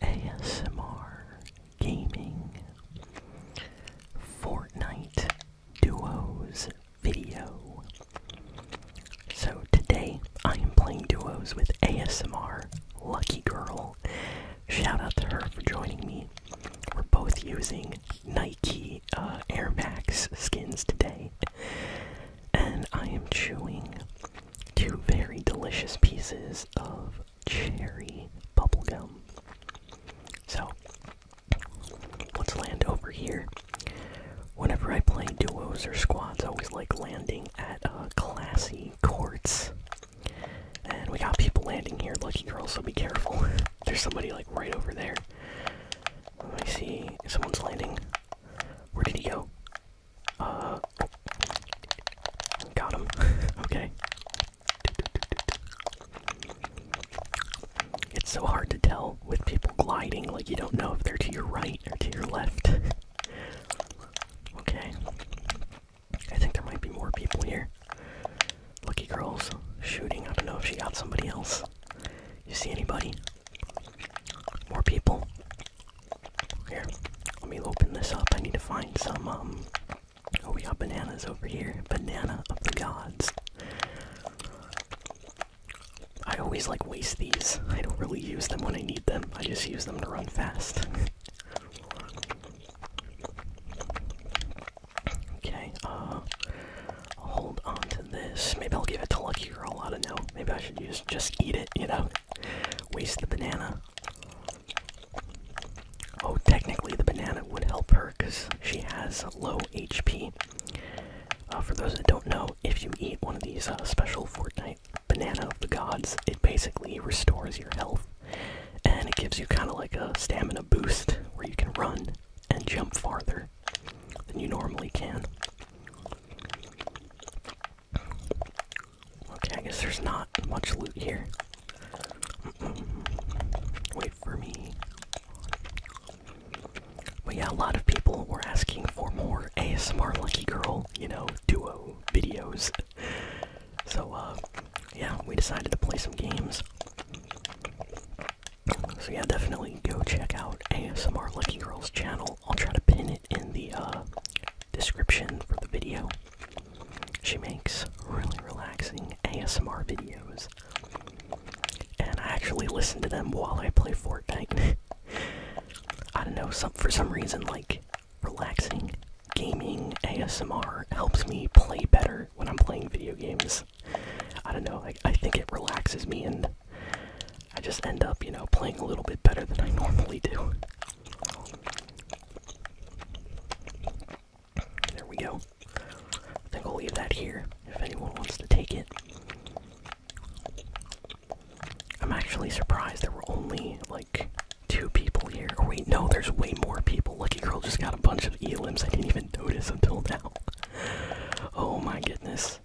ASMR Gaming Fortnite Duos video. So today I am playing duos with ASMR Lucky Girl. Shout out to her for joining me. We're both using Nike uh, Air Max skins today. And I am chewing two very delicious pieces of cherry bubblegum. So, let's land over here. Whenever I play duos or squads, I always like landing at uh, classy courts. And we got people landing here, lucky girl, so be careful. There's somebody like right over there. I see someone's landing. Where did he go? Uh, got him. okay. It's so hard to tell with people gliding, like, you don't know if they're to your right or to your left. okay. I think there might be more people here. Lucky Girl's shooting. I don't know if she got somebody else. You see anybody? More people. Here, let me open this up. I need to find some, we um, oh, got bananas over here. Banana of the gods. I always like waste these. I don't really use them when I need them. I just use them to run fast. okay, uh, hold on to this. Maybe I'll give it to Lucky Girl. I don't know. Maybe I should use just eat it, you know? Waste the banana. Oh, technically, the banana would help her because she has low HP. Uh, for those that don't know, if you eat one of these uh, special Fortnite banana of the gods, it basically restores your health and it gives you kind of like a stamina boost where you can run and jump farther than you normally can. Okay, I guess there's not much loot here. Wait for me. But yeah, a lot of people were asking for more ASMR Lucky Girl, you know, duo videos. So, uh, yeah, we decided to play some games. So yeah, definitely go check out ASMR Lucky Girl's channel. I'll try to pin it in the uh, description for the video. She makes really relaxing ASMR videos. And I actually listen to them while I play Fortnite. I don't know, some for some reason like relaxing gaming ASMR helps me play better when I'm playing video games. I don't know, like I think it relaxes me and I just end up, you know, playing a little bit better than I normally do. There we go. I think we will leave that here if anyone wants to take it. I'm actually surprised there were only like two people here. Oh, wait, no, there's way more people. Lucky Girl just got a bunch of elims I didn't even notice until now. Oh my goodness.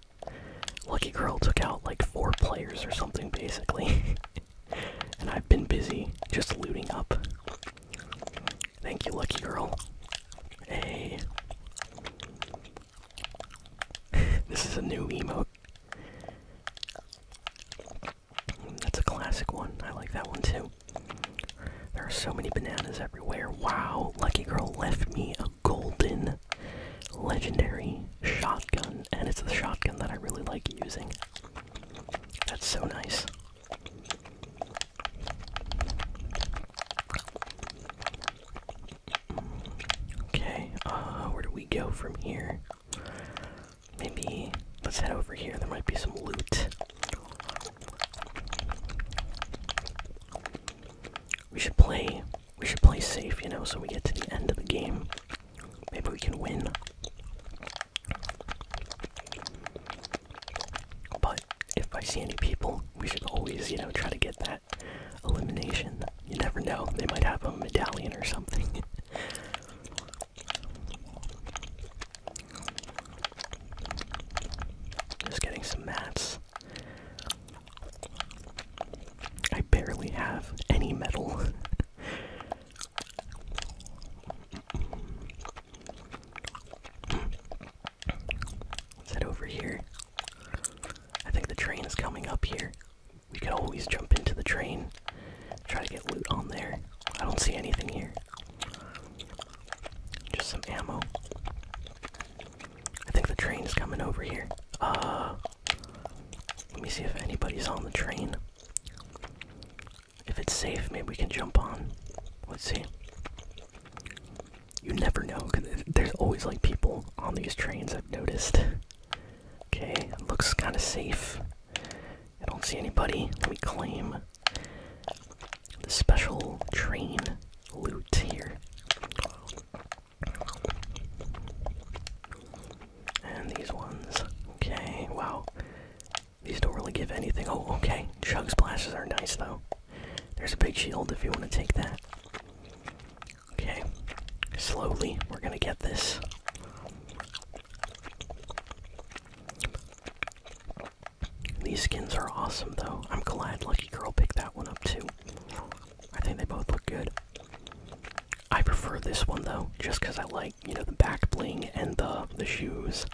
Lucky Girl took out like four players or something basically and I've been busy just looting up. Thank you, Lucky Girl. Hey. this is a new emote. That's a classic one. I like that one too. There are so many bananas everywhere. Wow, Lucky Girl left me a golden legendary shotgun, and it's the shotgun that I really like using. That's so nice. Okay, uh, where do we go from here? Maybe let's head over here. There might be some loot. We should play. We should play safe, you know, so we get to the end of the game Maybe we can win. But if I see any people, we should always, you know, try to get that elimination. You never know, they might have a medallion or something. Just getting some mats. I barely have any metal. Let's head over here. I think the train is coming up here. We could always jump into the train, try to get loot on there. I don't see anything here. Just some ammo. I think the train is coming over here. Uh, let me see if anybody's on the train. If it's safe, maybe we can jump on. Let's see. You never know, cause there's always like people on these trains, I've noticed. Okay, looks kind of safe. I don't see anybody. Let me claim the special train loot here. And these ones. Okay, wow. These don't really give anything. Oh, okay. Chug splashes are nice, though. There's a big shield if you want to take that. Okay. Slowly, we're going to get this. These skins are awesome, though. I'm glad Lucky Girl picked that one up, too. I think they both look good. I prefer this one though, just because I like you know the back bling and the the shoes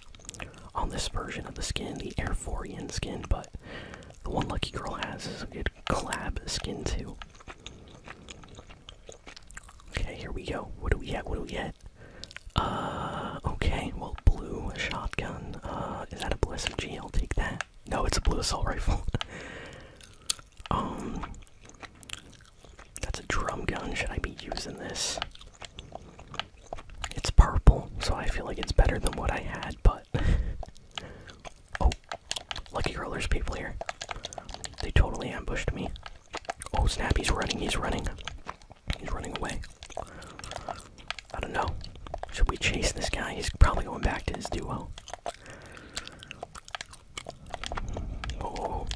on this version of the skin, the Air Foryan skin. But the one Lucky Girl has a good collab skin too. Okay, here we go. What do we get? What do we get? Uh, okay. Well, blue shotgun. Uh, is that a blue SMG? I'll take that. No, it's a blue assault rifle. Um, that's a drum gun. Should I be using this? It's purple, so I feel like it's better than what I had, but. oh, Lucky Girl, there's people here. They totally ambushed me. Oh snap, he's running, he's running. He's running away. I don't know. Should we chase this guy? He's probably going back to his duo. Oh.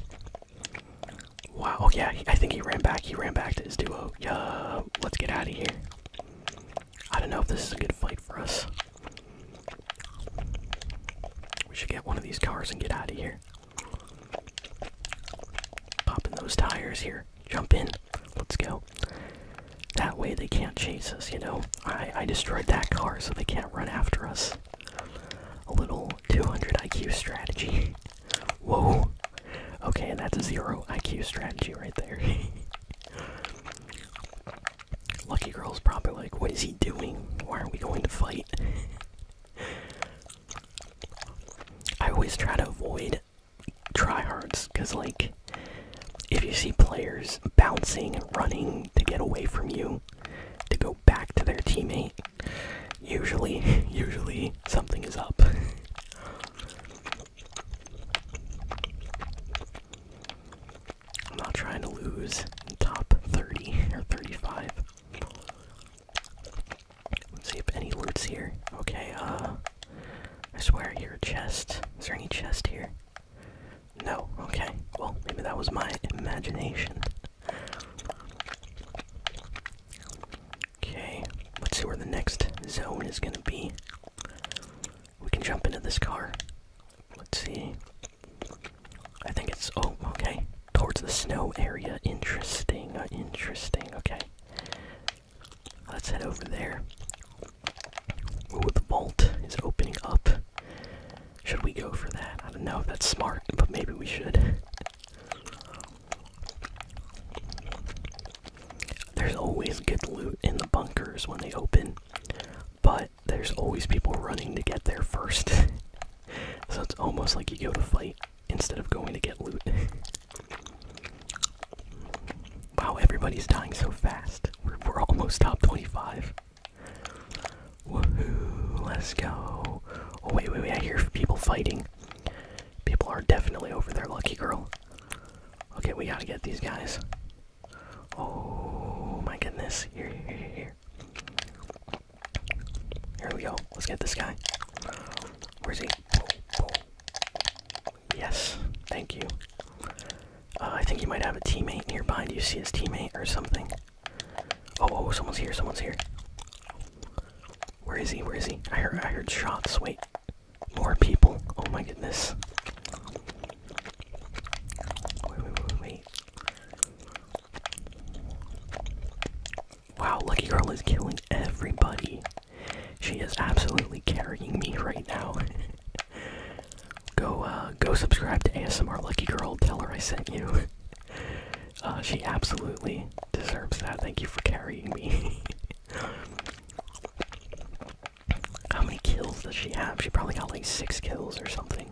Wow. yeah. I think he ran back. He ran back to his duo. Yeah. Let's get out of here. I don't know if this is a good fight for us. We should get one of these cars and get out of here. Pop in those tires here. Jump in. Let's go. That way they can't chase us, you know? I destroyed that car so they can't run after us. A little 200 IQ strategy. Whoa. Okay, and that's a zero IQ strategy right there. Lucky girl's probably like, what is he doing? Why are we going to fight? I always try to avoid tryhards, because, like, if you see players bouncing and running to get away from you, to go back to their teammate, usually, usually something is up. I'm not trying to lose top 30 or 35. Let's see if any loot's here. Okay, uh, I swear I hear a chest. Is there any chest here? No, okay. Well, maybe that was my imagination. Okay, let's see where the next zone is gonna be. We can jump into this car. Let's see. I think it's. Oh, okay. Towards the snow area. Interesting, uh, interesting. Okay. Let's head over there. Oh, the vault is opening up. Should we go for that? I don't know if that's smart, but maybe we should. There's always good loot in the bunkers when they open, but there's always people running to get there first. so it's almost like you go to fight instead of going to get loot. wow, everybody's dying so fast. We're, we're almost top 25. Woohoo, let's go. Oh, wait, wait, wait, I hear people fighting. People are definitely over there, lucky girl. Okay, we gotta get these guys. Oh my goodness, here, here, here, here. we go, let's get this guy. Where's he? Yes, thank you. Uh, I think you might have a teammate nearby. Do you see his teammate or something? Oh, oh, someone's here. Someone's here. Where is he? Where is he? I heard. I heard shots. Wait, more people. Oh my goodness. Wait, wait, wait, wait. Wow, Lucky Girl is killing everybody. She is absolutely carrying me right now. go uh, go subscribe to ASMR Lucky Girl. Tell her I sent you. Uh, she absolutely deserves that. Thank you for carrying me. How many kills does she have? She probably got like six kills or something.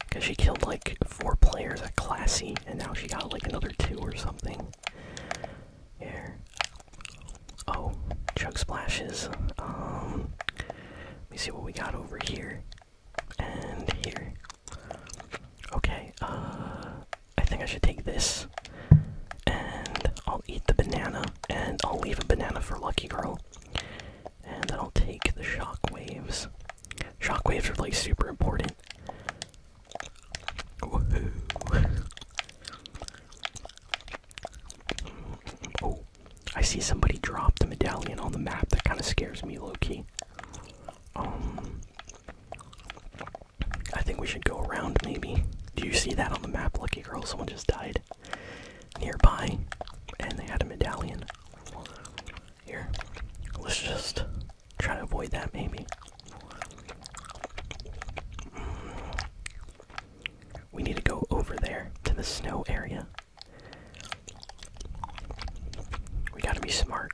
Because she killed like four players at Classy, and now she got like another two or something. Here. Oh, Chug Splashes. Um, let me see what we got over here and here. Okay, uh, I think I should take this, and I'll eat the banana, and I'll leave a banana for Lucky Girl, and then I'll take the shockwaves. Shockwaves are like super important. I see somebody drop the medallion on the map. That kind of scares me, Loki. Um, I think we should go around, maybe. Do you see that on the map, Lucky Girl? Someone just died nearby, and they had a medallion. Here, let's just try to avoid that, maybe. We need to go over there to the snow area. We gotta be smart.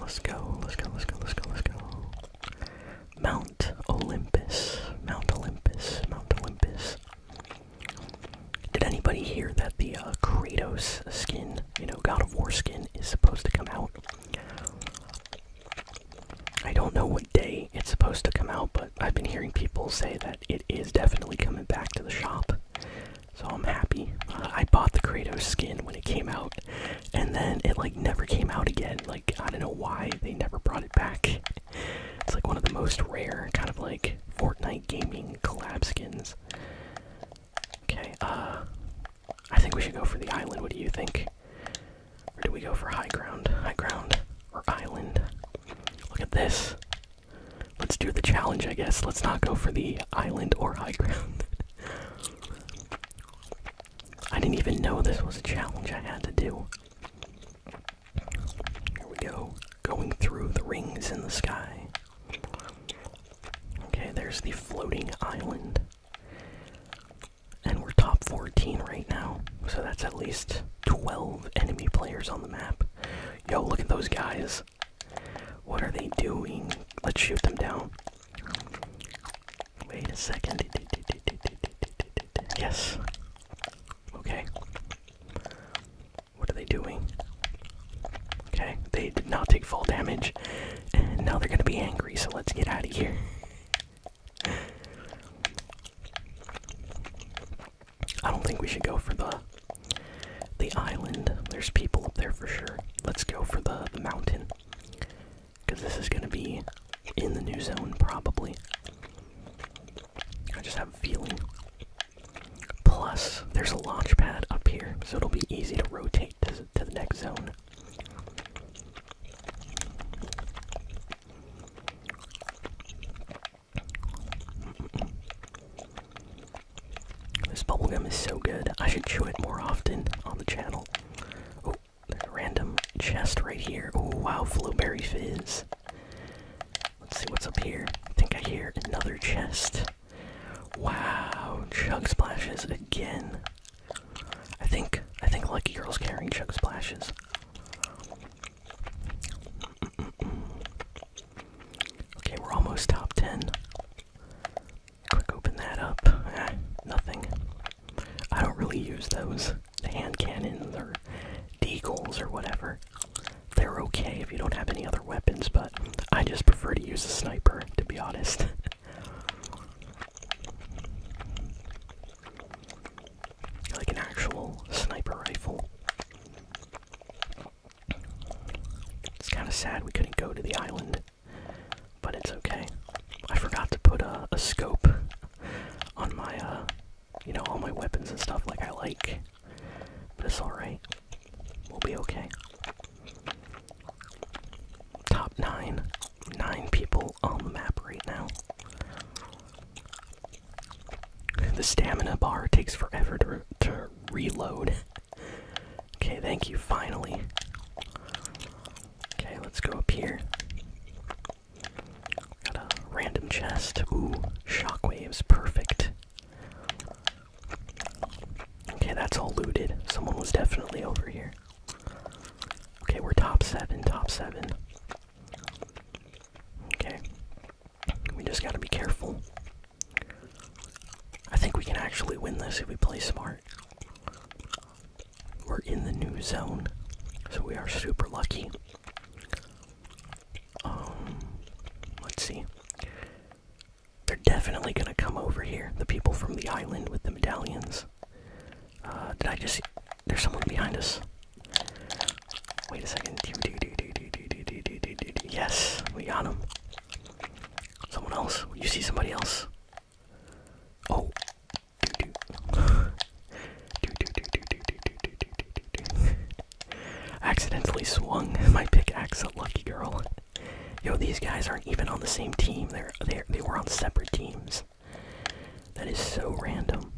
Let's go, let's go, let's go, let's go, let's go. Mount Olympus. Mount Olympus. Mount Olympus. Did anybody hear that the uh, Kratos skin, you know, God of War skin, is supposed to come out? I don't know what day it's supposed to come out, but. I've been hearing people say that it is definitely coming back to the shop. So I'm happy. Uh, I bought the Kratos skin when it came out, and then it like never came out again. Like I don't know why they never brought it back. It's like one of the most rare kind of like Fortnite gaming collab skins. Okay, uh, I think we should go for the island. What do you think? Or do we go for high ground? High ground or island? Look at this. Let's do the challenge, I guess. Let's not go for the island or high ground. I didn't even know this was a challenge I had to do. Here we go. Going through the rings in the sky. Okay, there's the floating island. And we're top 14 right now, so that's at least 12 enemy players on the map. Yo, look at those guys. What are they doing? Let's shoot them down. Wait a second. Yes. Okay. What are they doing? Okay, they did not take full damage. And now they're gonna be angry, so let's get out of here. I don't think we should go for the the island. There's people up there for sure. Let's go for the mountain. Cause this is gonna be in the new zone probably. I just have a feeling. Plus, there's a launch pad up here, so it'll be easy to rotate to, to the next zone. This bubblegum is so good. I should chew it more often on the channel. Oh, there's a random chest right here. Oh, wow, Flowberry Fizz. Let's see what's up here. I think I hear another chest. Wow, Chug Splashes again. I think I think Lucky Girl's carrying Chug Splashes. Okay, we're almost top 10. Quick, open that up. Ah, nothing. I don't really use those. hand cannons or D deagles or whatever. They're okay if you don't have any other weapons, but I just prefer to use a sniper, to be honest. like an actual sniper rifle. It's kind of sad we couldn't go to the island, but it's okay. I forgot to put a, scope on my, uh, you know, all my weapons and stuff like I like, but it's alright. We'll be okay. Top nine. Nine people on the map right now. The stamina bar takes forever to, reload. okay, thank you, finally. Okay, let's go up here. Got a random chest. Ooh, shockwaves, perfect. Okay, that's all looted. Someone was definitely over here. Okay, we're top seven, top seven. Okay. We just gotta be careful. I think we can actually win this if we play smart. We're in the new zone, so we are super lucky. Um, let's see. They're definitely gonna come over here, the people from the island with the medallions. Uh, did I just. There's someone behind us. Wait a second. Yes, we got him. Someone else. You see somebody else. Oh. accidentally swung my pickaxe at Lucky Girl. Yo, these guys aren't even on the same team. They're, they're they were on separate teams. That is so random.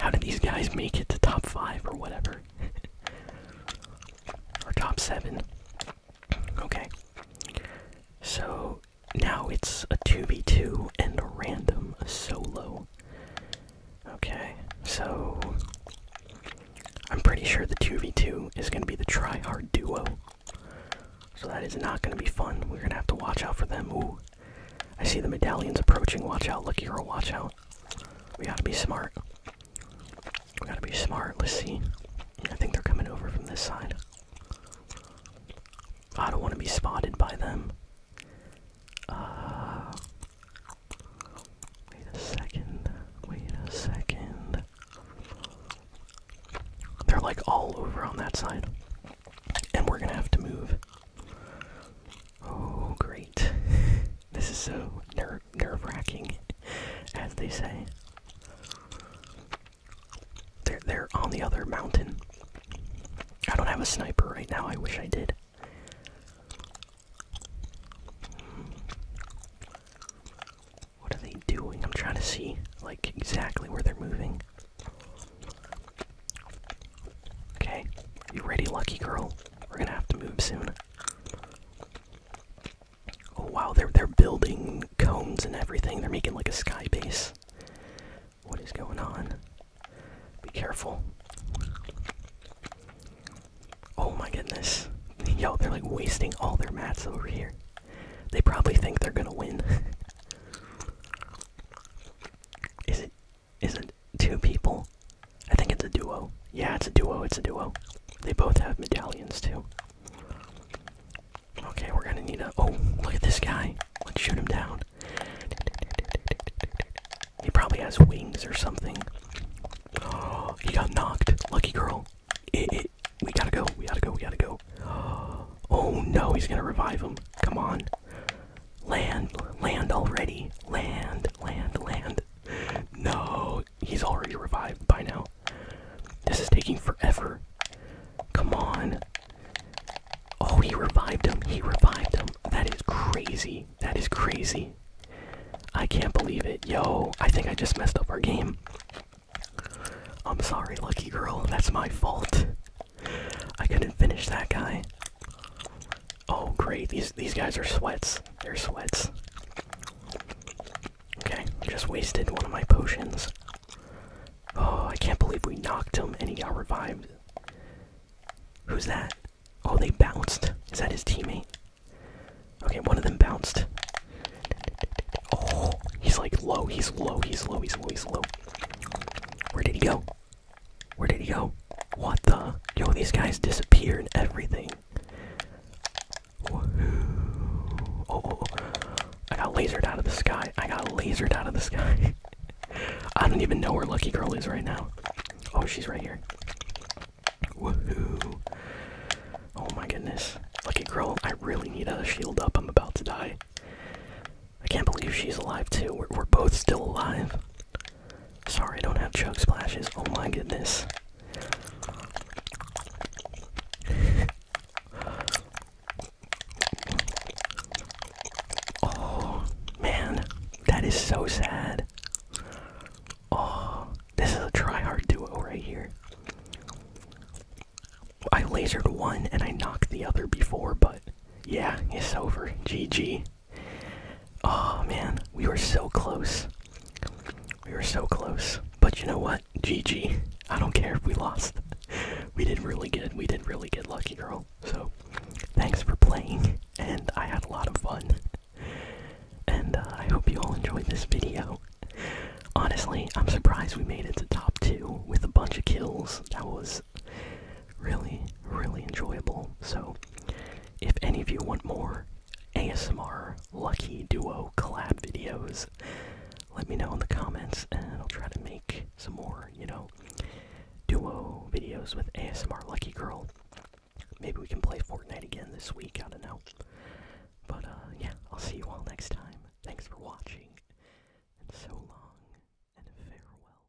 How did these guys make it to top five or whatever? or top seven? Okay. So now it's a 2v2 and a random solo. Okay, so I'm pretty sure the 2v2 is going to be the try hard duo. So that is not going to be fun. We're going to have to watch out for them. Ooh, I see the medallions approaching. Watch out, Lucky Girl, watch out. We gotta be smart. We gotta be smart. Let's see. I think they're coming over from this side. I don't want to be spotted by them. Uh, wait a second. Wait a second. They're like all over on that side. And we're gonna have to move. Oh, great. this is so ner nerve wracking, as they say. They're, they're on the other mountain. I don't have a sniper right now. I wish I did. What are they doing? I'm trying to see, like, exactly where they're moving. Okay, you ready, lucky girl? We're gonna have to move soon. Oh wow, they're they're building cones and everything. They're making like a sky base. What is going on? Be careful. Oh my goodness. Yo, they're like wasting all their mats over here. They probably think they're gonna win. is it is it two people? I think it's a duo. Yeah, it's a duo, it's a duo. They both have medallions too. Okay, we're gonna need a. Oh, look at this guy. Let's shoot him down. He probably has wings or something. Oh, he got knocked. Lucky girl. we gotta go. We gotta go. We gotta go. Oh no, he's gonna revive him. Come on land. Land, already. Land, land, land. No, he's already revived by now. This is taking forever. Come on. Oh, he revived him. He revived him. That is crazy. That is crazy. I can't believe it. Yo, I think I just messed up our game. I'm sorry, lucky girl. That's my fault. I couldn't finish that guy. Oh great, these these guys are sweats. They're sweats. Okay, just wasted one of my potions. Oh, I can't believe we knocked him and he got revived. Who's that? Oh, they bounced. Is that his teammate? Okay, one of them bounced. Oh, he's like low, he's low, he's low, he's low, he's low. Where did he go? Where did he go? What the? Yo, these guys disappeared. and everything. Oh, oh, oh, I got lasered out of the sky. I got lasered out of the sky. I don't even know where Lucky Girl is right now. Oh, she's right here. Woohoo. Oh my goodness. Lucky Girl, I really need a shield up. I'm about to die. I can't believe she's alive too. we're both still alive. Sorry, I don't have chug splashes. Oh my goodness. oh man, that is so sad. Oh, this is a try hard duo right here. I lasered one and I knocked the other before, but yeah, it's over. GG. Oh man, we were so close. We were so close. But you know what? GG. I don't care if we lost. We did really good. We did really good, Lucky Girl. So, thanks for playing, and I had a lot of fun. And uh, I hope you all enjoyed this video. Honestly, I'm surprised we made it to top two with a bunch of kills. That was really, really enjoyable. So, if any of you want more ASMR Lucky Duo collab videos, let me know in the comments and I'll try to make some more, you know, duo videos with ASMR Lucky Girl. Maybe we can play Fortnite again this week, I don't know. But, uh, yeah, I'll see you all next time. Thanks for watching, and so long, and farewell.